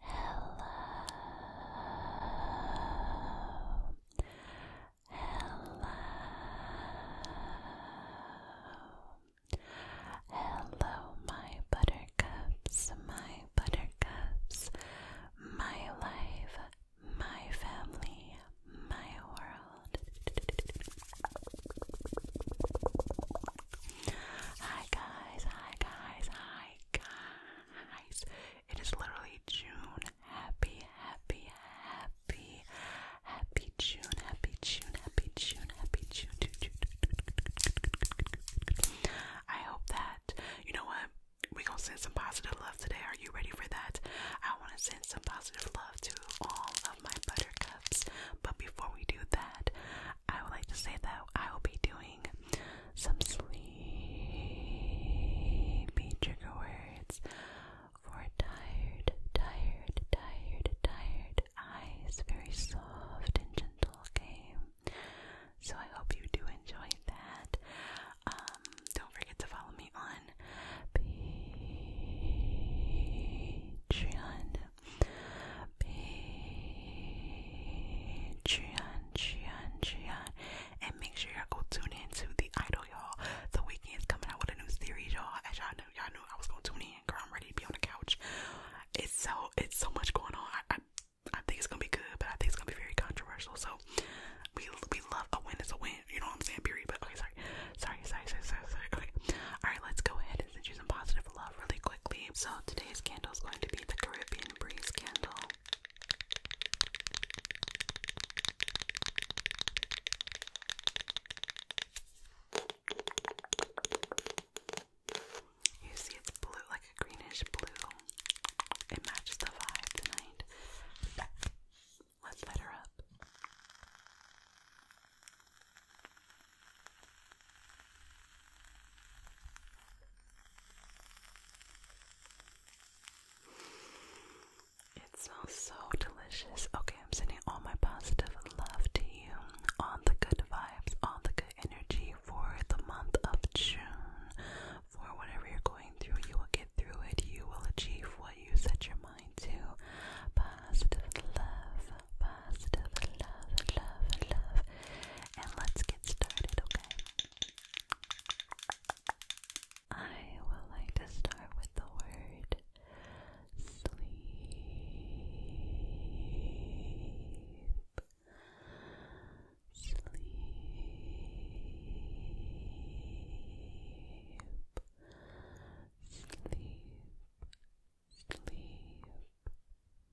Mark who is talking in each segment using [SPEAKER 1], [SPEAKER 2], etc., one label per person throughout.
[SPEAKER 1] Hello. Hello. Hello, my buttercups, my buttercups, my life, my family, my world. Hi, guys guys, hi guys, hi guys. It is literally June. Happy, happy, happy, happy June, happy June, happy June, happy June. June, June, June, June. I hope that you know what we gonna send some positive love today. Are you ready for that? I want to send some positive love to all of my buttercups, but before we do that, I would like to say that I will be doing some sleepy trigger words for tired, tired, tired, tired eyes. Very soft and gentle, okay? So I hope you do enjoy that. Um, don't forget to follow me on Patreon Patreon, Patreon, Patreon. And make sure y'all go tune in to The Idol, y'all. The weekend's coming out with a new series, y'all. As y'all knew, y'all knew I was gonna tune in. Girl, I'm ready to be on the couch. It's so, it's so much going on. I, I, think it's gonna be good, but I think it's gonna be very controversial. So, we, we love a win It's a win. You know what I'm saying, period. But okay, sorry, sorry, sorry, sorry, sorry. sorry. Okay, all right. Let's go ahead and send you some positive love really quickly. So today's candle is going to be the Caribbean Breeze candle. You see, it's blue, like a greenish blue. It matches the vibe tonight. Let's light her up. It smells so delicious. Okay, I'm sending all my positive love to you, all the good vibes, all the good energy for the month of June. For whatever you're going through, you will get through it. You will achieve what you set your mind to. Bye love, love, love, love. And let's get started, okay? I would like to start with the word Sleep. Sleep. Sleep. Sleep.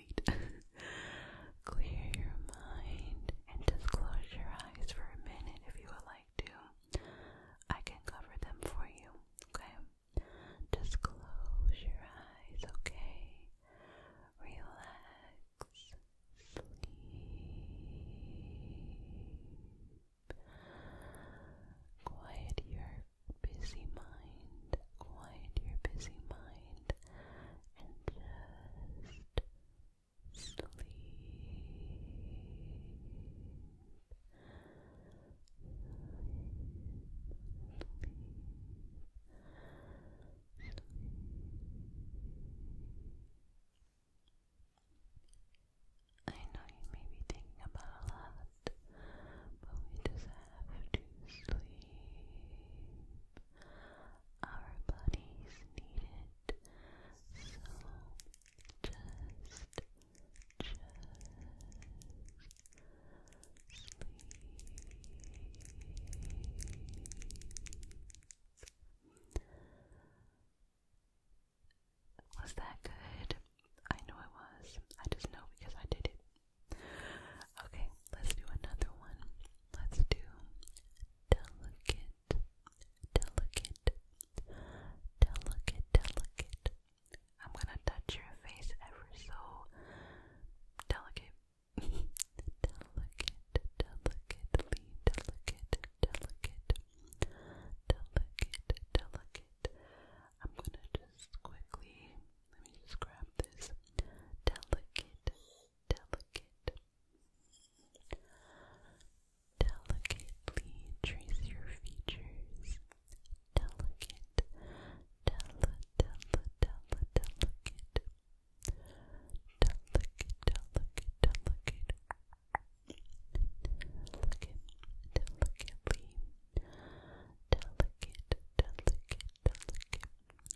[SPEAKER 1] Clear your mind and just close your eyes for a minute if you would like to. I can cover them for you, okay? Just close your eyes, okay? Relax, sleep. Quiet your busy mind, quiet your busy mind, and just sleep. Sleep, sleep, I know you may be thinking about a lot, but we just have to sleep our bodies need it. just, just sleep. Was that good? I know it was. I just know because I did it Okay, let's do another one. Let's do delicate, delicate, delicate, delicate. I'm gonna touch your face ever so delicate. delicate, delicately, delicate, delicate, delicate, delicate. I'm gonna just quickly, let me just grab this. Delicate, delicate. Delicately trace your features. Delicate, dela, dela, dela, delicate. Delicate, delicate, delicate. Delicate, delicately. Delicate, delicate, delicate.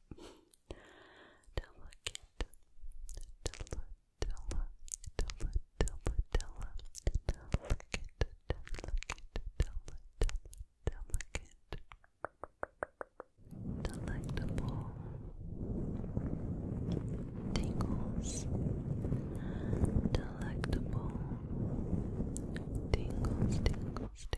[SPEAKER 1] delicate, delicate, delicate, delicate, delicate, delicate, delicate, delectable tingles, delectable tingles, tingles,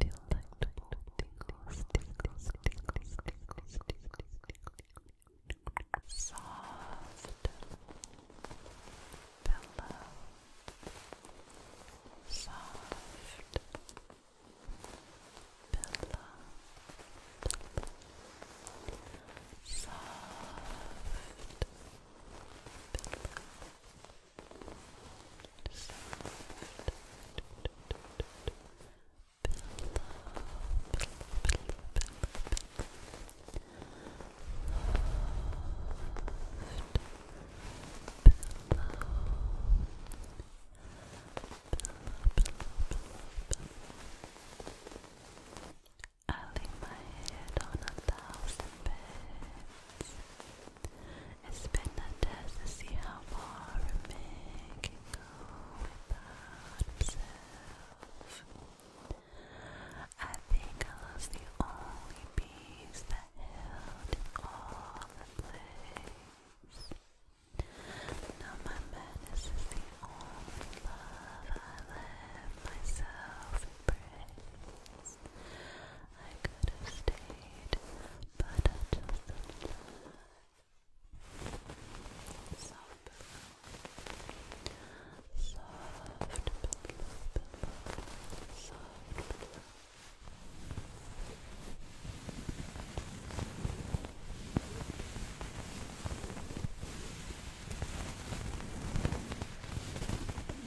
[SPEAKER 1] Feel like tingles, tingles, tingles, tingles, tingles, tingles. Soft pillow. Soft pillow. Soft pillow. Soft pillow. I lay my head on a thousand beds. It's been a test to see how far a man can go without himself. I think I was the only piece that held all in place. Now my madness is the only love I let myself embrace place. I could have stayed, but I just didn't Soft pillow. Soft pillow, pillow. Soft pillow. Soft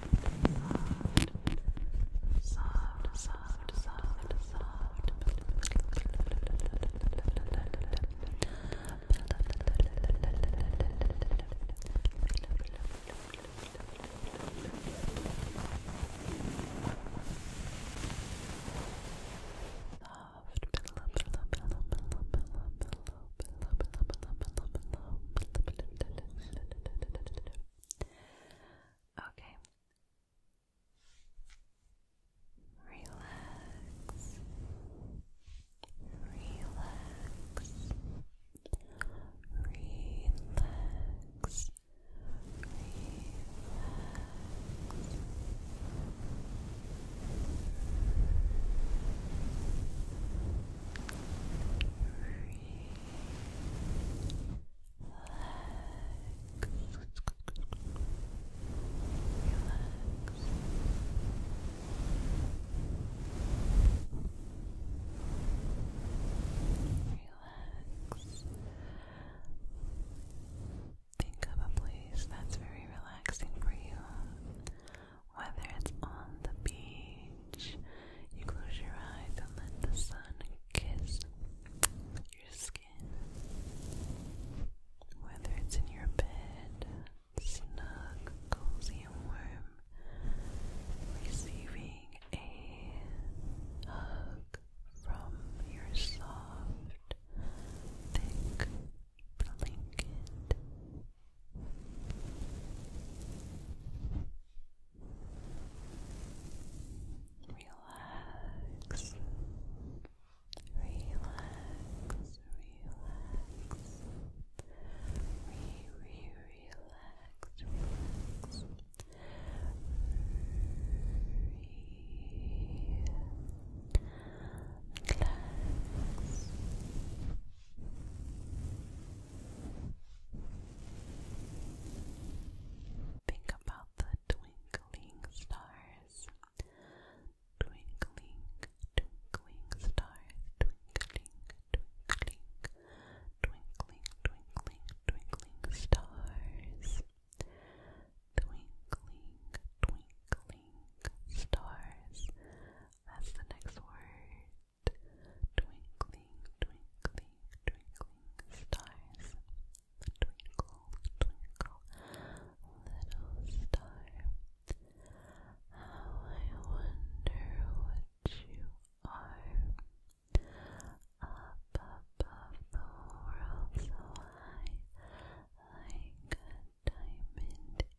[SPEAKER 1] soft, soft, soft, soft. Soft pillow, pillow, pillow, pillow, pillow, Okay. Relax. Relax. Relax. Relax. Think of a place that's very relaxing for you. Whether it's on the beach, you close your eyes and let the sun kiss your skin. Whether it's in your bed, snug, cozy, and warm, receiving a hug from your soft, thick blanket. Relax, relax, relax. Re, re, relax, relax. Think about the twinkling stars. Twinkling, twinkling stars, twinkling, twinkling, twinkling, twinkling, stars. Twinkling, twinkling stars. That's the next word. Twinkling, twinkling, twinkling stars. Twinkle, twinkle, little star. How I wonder what you are. Up above so high, like a diamond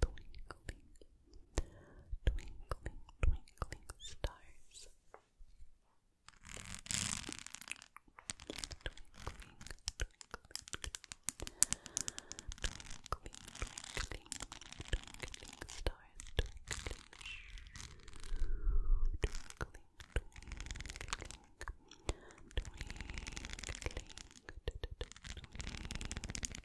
[SPEAKER 1] twinkling, twinkling, twinkling stars. Twinkling, twinkling, twinkling, twinkling stars, twinkling, twinkling, twinkling, twinkling, twinkling, twinkling, twinkling,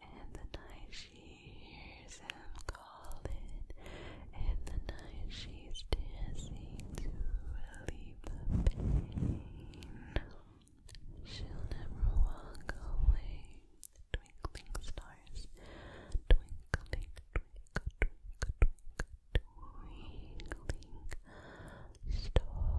[SPEAKER 1] in the night she hears him calling. In the night she's dancing to relieve the pain. She'll never walk away. Twinkling stars, twinkling, twinkle, twinkle, twinkling stars.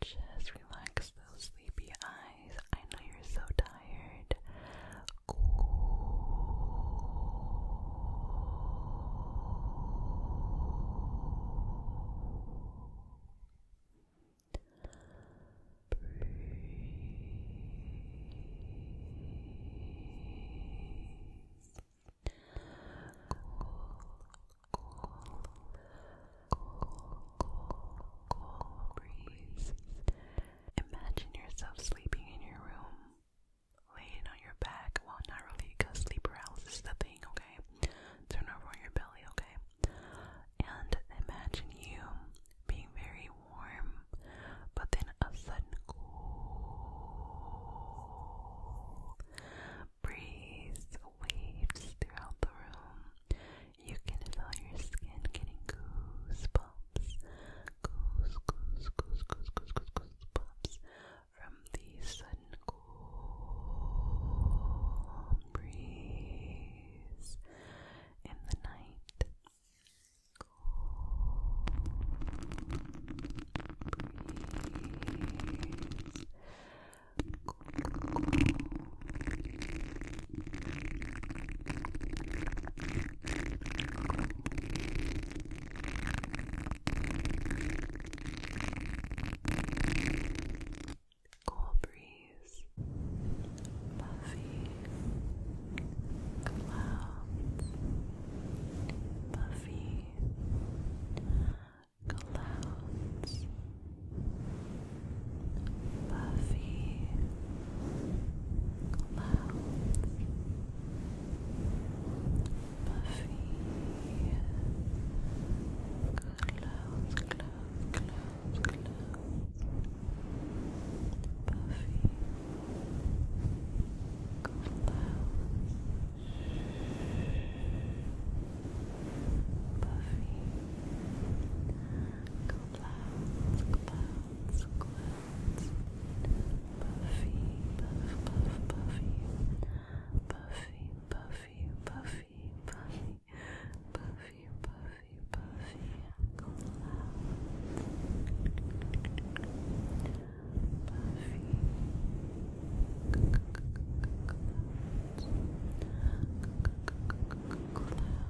[SPEAKER 1] Just relax those sleepy eyes. I know you're so tired. Cool, cool, Imagine yourself sleeping in your room, laying on your back. Well, not really, because sleep paralysis is the thing, okay? Turn over on your belly, okay? And imagine you being very warm, but then a sudden cool breeze waves throughout the room. You can feel your skin getting goosebumps, goose, goose, goose, goose, goose, goose, goosebumps from the sudden cool breeze in the night. Cool breeze, puffy clouds, puffy clouds, Buffy, clouds, puffy clouds, clouds, clouds, clouds, clouds. Puffy clouds, clouds, Cleanse, cleanse. Buffy, buff, buff, buffy. Buffy, buffy, buffy, buffy. Buffy, buffy, buffy. Clouds. Buffy. Clouds. Clouds.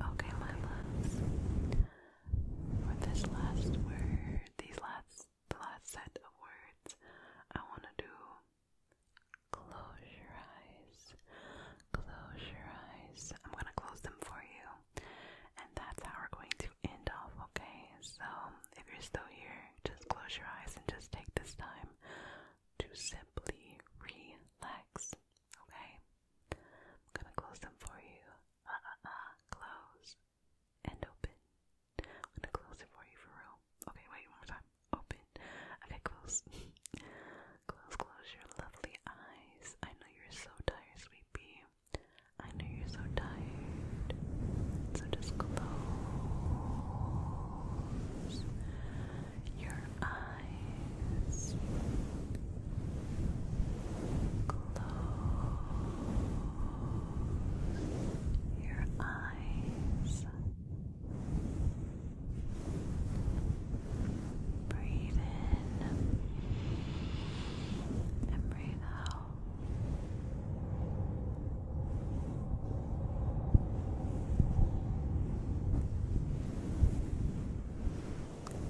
[SPEAKER 1] Okay, my loves. For this last word, these last, the last set of words, I want to do. Close your eyes. Close your eyes. I'm gonna close them for you. And that's how we're going to end off, okay? So if you're still here, just close your eyes and just take this time to simply relax, okay? I'm gonna close them for you. Uh uh uh, close and open. I'm gonna close it for you for real. Okay, wait, one more time. Open. Okay, close. close, close your lovely eyes. I know you're so tired, sweetie. I know you're so tired. So just close your eyes. Close your eyes. Breathe in and breathe out.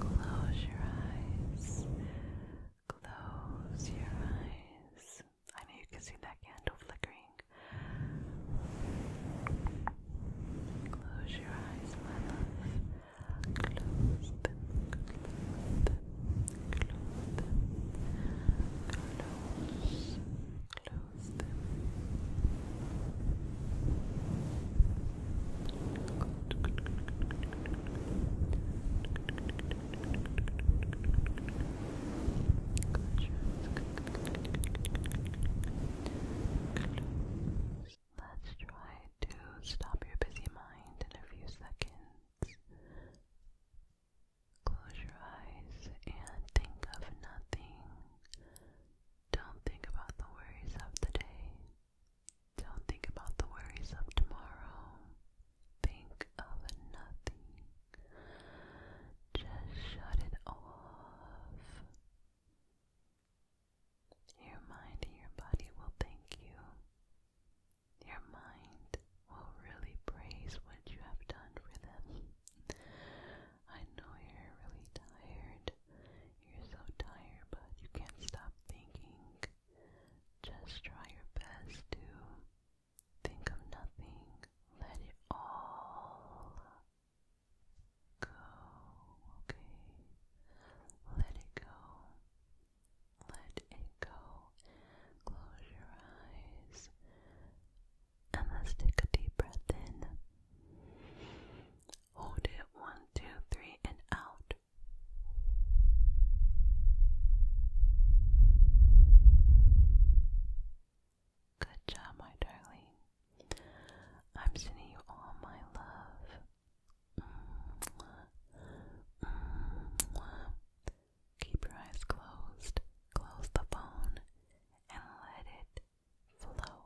[SPEAKER 1] Close your eyes. Close your eyes. I know you can see that candle flickering. Close your eyes, my love. Close close them. Let's try to stop your busy mind in a few seconds. Close your eyes and think of nothing. Don't think about the worries of the day. Don't think about the worries of tomorrow. Think of nothing. Just shut it off. Your mind and your body will thank you. Your mind will really praise what you have done for them. I know you're really tired. You're so tired, but you can't stop thinking. Just try your best to think of nothing. Let it all go, okay? Let it go. Let it go. Close your eyes. And let's take a deep breath in. Hold it one, two, three, and out. Good job, my darling. I'm sending you all my love. Keep your eyes closed, close the phone, and let it flow.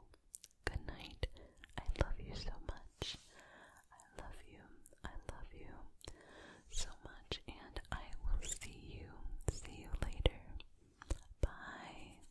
[SPEAKER 1] Good night. I love you so much. I love you. I love you so much, and I will see you. See you later. Bye.